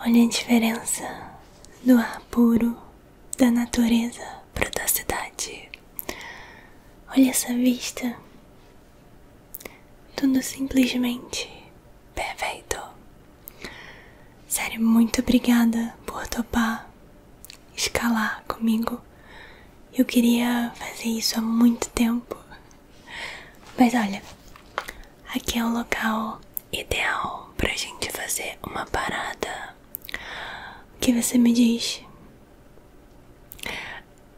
Olha a diferença do ar puro da natureza para da cidade. Olha essa vista. Tudo simplesmente perfeito. Sério, muito obrigada por topar escalar comigo. Eu queria fazer isso há muito tempo. Mas olha, aqui é o local ideal pra gente fazer uma parada. O que você me diz?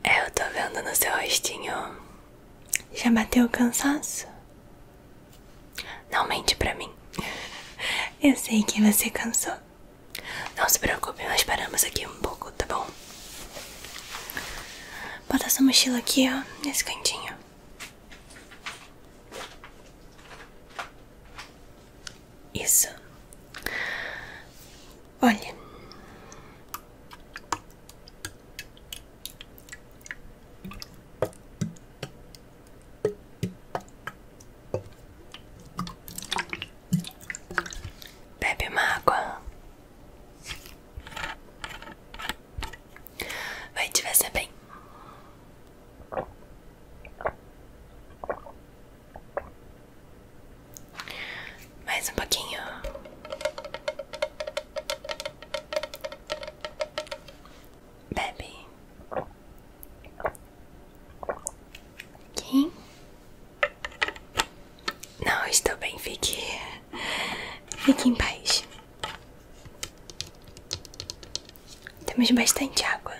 É, eu tô vendo no seu rostinho. Já bateu cansaço? Não mente pra mim. Eu sei que você cansou. Não se preocupe, nós paramos aqui um pouco, tá bom? Bota essa mochila aqui, ó, nesse cantinho. Isso. Olha. Bebe uma água. Vai te fazer bem. Mais um pouquinho. Bebe. Aqui. Não, estou bem, fique. Fique em paz. Temos bastante água.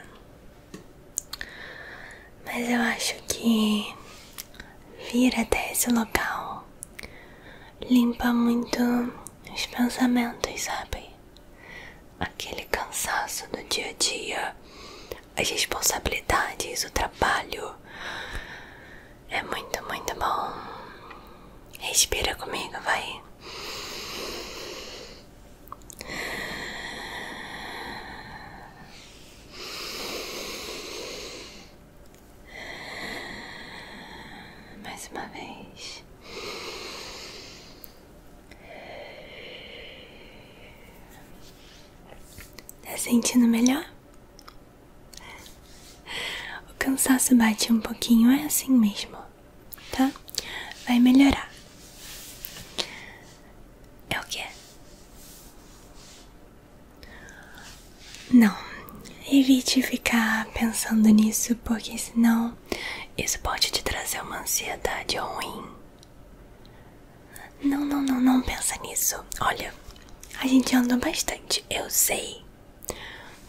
Mas eu acho que vir até esse local limpa muito os pensamentos, sabe? Aquele cansaço do dia a dia, as responsabilidades, o trabalho. É muito, muito bom. Respira comigo, vai. Mais uma vez. Tá sentindo melhor? O cansaço bate um pouquinho, é assim mesmo, tá? Vai melhorar. É o que? Não, evite ficar pensando nisso, porque senão isso pode te trazer uma ansiedade ruim. Não, não, não, não pensa nisso. Olha, a gente andou bastante, eu sei.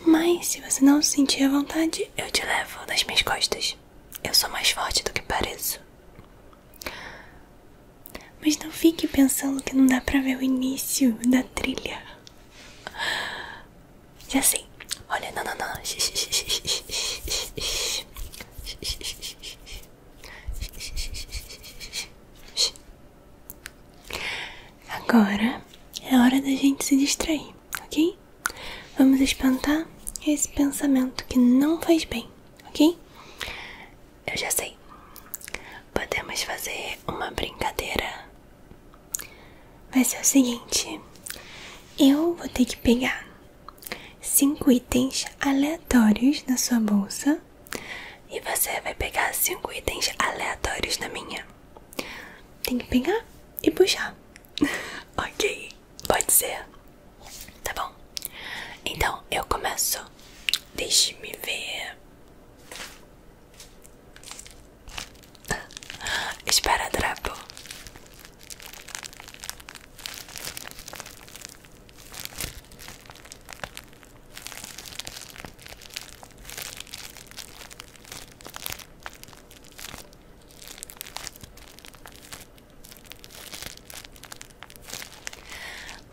Mas se você não sentir a vontade, eu te levo nas minhas costas. Eu sou mais forte do que pareço. Mas não fique pensando que não dá pra ver o início da trilha. Já sei. Assim, olha, não, não, não. Agora é hora da gente se distrair, ok? Vamos espantar esse pensamento que não faz bem, ok? Eu já sei. Podemos fazer uma brincadeira. Vai ser o seguinte: eu vou ter que pegar cinco itens aleatórios na sua bolsa e você vai pegar cinco itens aleatórios na minha. Tem que pegar e puxar. ok, pode ser. Tá bom. Então eu começo. Deixe-me ver. trapo.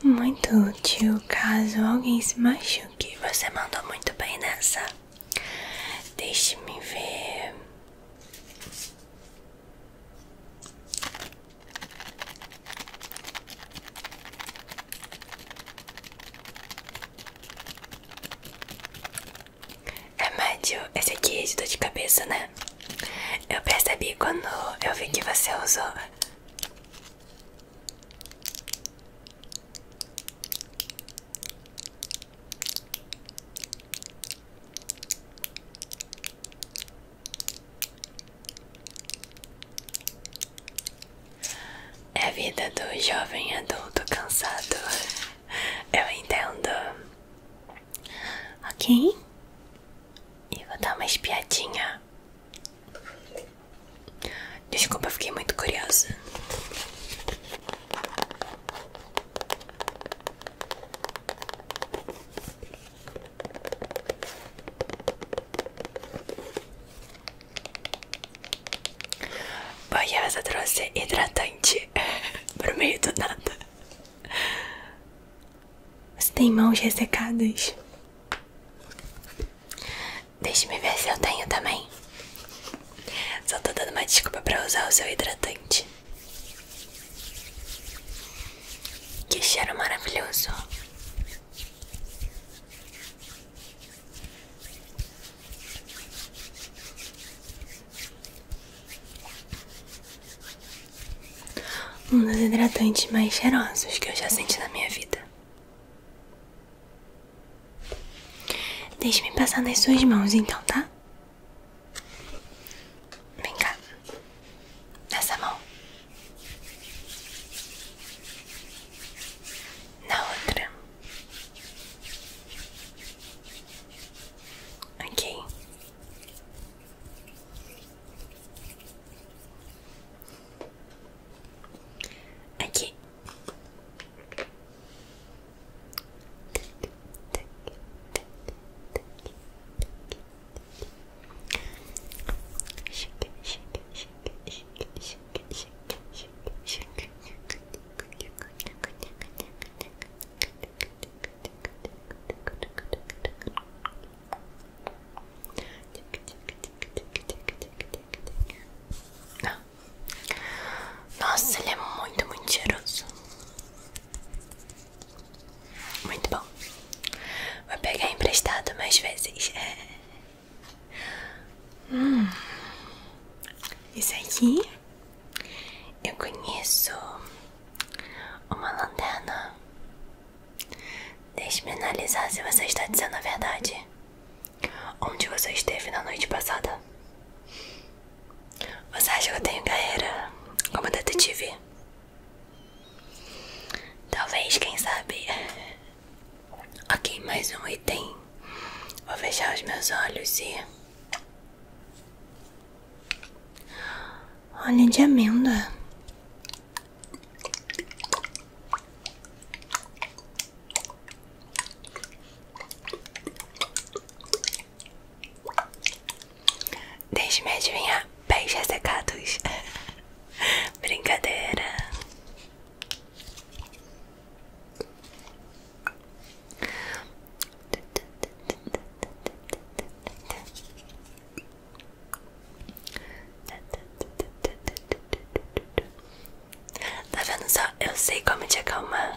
Muito tio caso alguém se machuque. Você mandou muito bem nessa. Deixe-me ver. É médio, esse aqui é de dor de cabeça, né? Eu percebi quando eu vi que você usou. É a vida do jovem adulto cansado. Eu entendo. Ok? E vou dar uma espiadinha. Desculpa, eu fiquei muito curiosa. Bom, e essa trouxe hidratante pro meio do nada. Você tem mãos ressecadas? deixe me ver se eu tenho também. Só tô dando uma desculpa pra usar o seu hidratante. Que cheiro maravilhoso. Um dos hidratantes mais cheirosos que eu já senti na minha vida. Deixe-me passar nas suas mãos, então, tá? Vem cá. Nessa mão. Na outra. Ok. Aqui. Chique, chique, chique, chique, chique, chique, chique, chique. Nossa, ele é muito, muito cheiroso. Muito bom. Vou pegar emprestado mais vezes. É. Hum. Isso aqui eu conheço uma lanterna. Deixe-me analisar se você está dizendo a verdade. Onde você esteve na noite passada? Você acha que eu tenho carreira como detetive? Talvez, quem sabe? Ok, mais um item. Vou fechar os meus olhos e. Olha de amêndoa. Deixe-me adivinhar, pés ressecados. Brincadeira. Tá vendo só? Eu sei como te acalmar.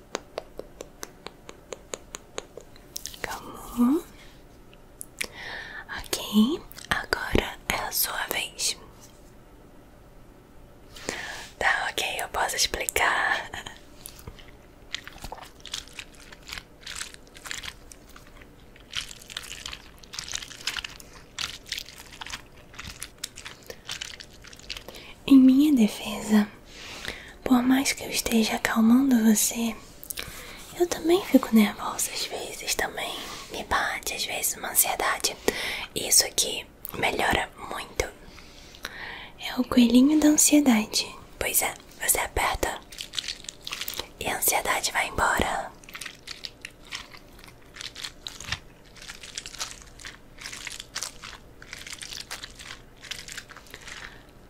Calma. Ok, agora é a sua vez. Tá, ok, eu posso explicar. Em minha defesa, por mais que eu esteja acalmando você, eu também fico nervosa às vezes também. Me bate às vezes uma ansiedade. Isso aqui melhora muito. É o coelhinho da ansiedade. Pois é, você aperta e a ansiedade vai embora.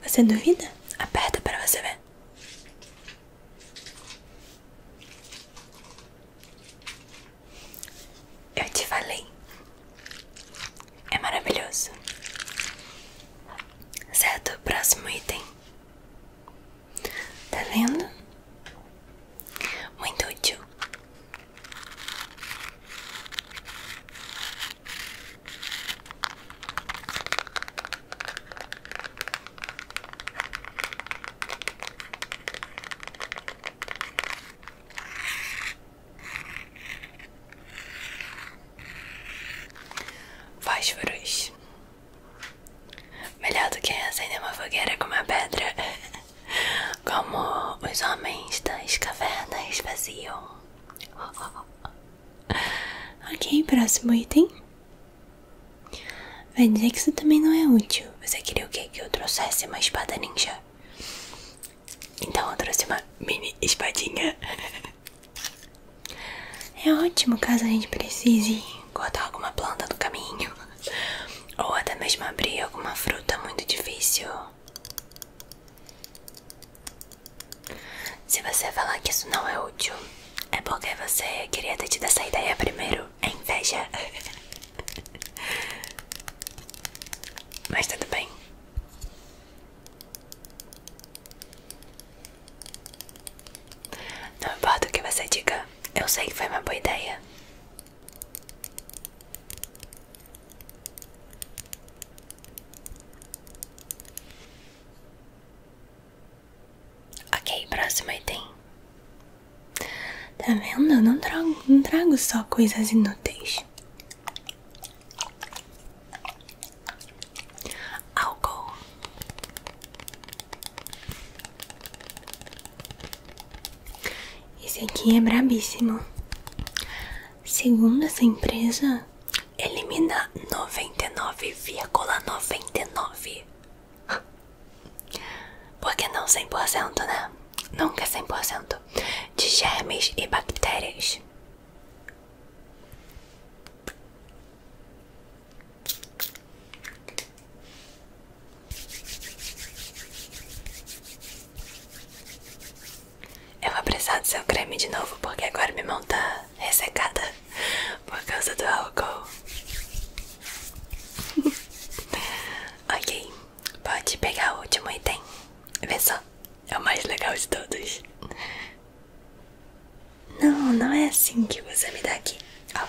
Você duvida? Aperta para você ver. Eu te falei. É maravilhoso. Certo, próximo item. Tá vendo? Muito útil. Fósforos. Melhor do que acender uma fogueira com uma pedra. Como os homens das cavernas vaziam. Ok, próximo item. Vai dizer que isso também não é útil. Você queria o quê? Que eu trouxesse uma espada ninja? Então eu trouxe uma mini espadinha. É ótimo caso a gente precise cortar alguma planta no caminho ou até mesmo abrir alguma fruta muito difícil. Se você falar que isso não é útil, é porque você queria ter tido essa ideia primeiro, é inveja. Mas tudo bem. Não importa o que você diga, eu sei que foi uma boa ideia. Ok, próximo item. Tá vendo? Eu não trago, não trago só coisas inúteis. Álcool. Esse aqui é brabíssimo. Segundo essa empresa, elimina 99,99. ,99. Porque não 100%, né? Nunca 100% de germes e bactérias. Eu vou precisar do seu creme de novo porque agora minha mão tá ressecada por causa do álcool. ok, pode pegar o último item. Vê só, é o mais legal de todos. Não, não é assim que você me dá aqui. Oh.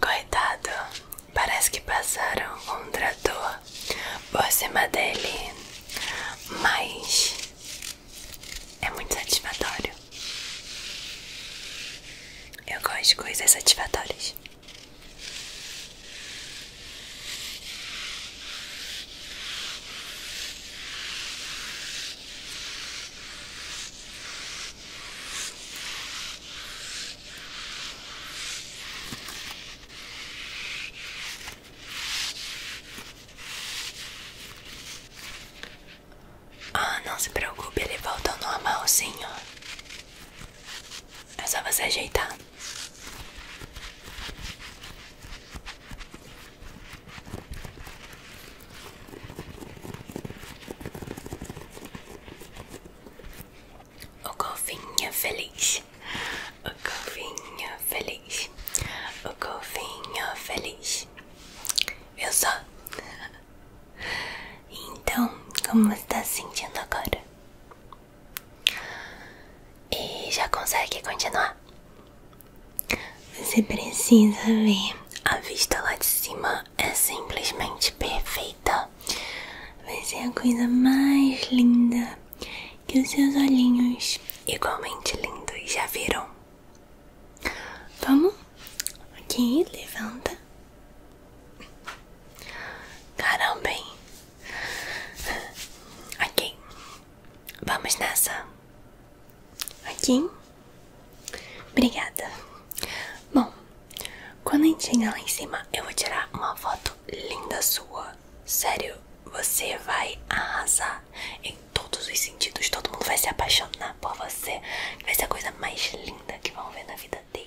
Coitado, parece que passaram um trator por cima dele, mas é muito satisfatório. Eu gosto de coisas satisfatórias. Ah, não se preocupe, ele volta ao normal, sim, É só você ajeitar. O golfinho feliz. O golfinho feliz. O golfinho feliz. Viu só? Então, como você está se sentindo agora? E já consegue continuar? Você precisa ver. A vista lá de cima é simplesmente perfeita. Vai ser a coisa mais linda que os seus olhinhos, igualmente lindos, já viram. Vamos? Aqui, levanta. Caramba, hein? Ok, vamos nessa. Aqui. Obrigada. Bom, quando a gente chegar lá em cima, eu vou tirar uma foto linda sua. Sério, você vai arrasar em todos os sentidos. Todo mundo vai se apaixonar por você. Vai ser a coisa mais linda que vão ver na vida deles.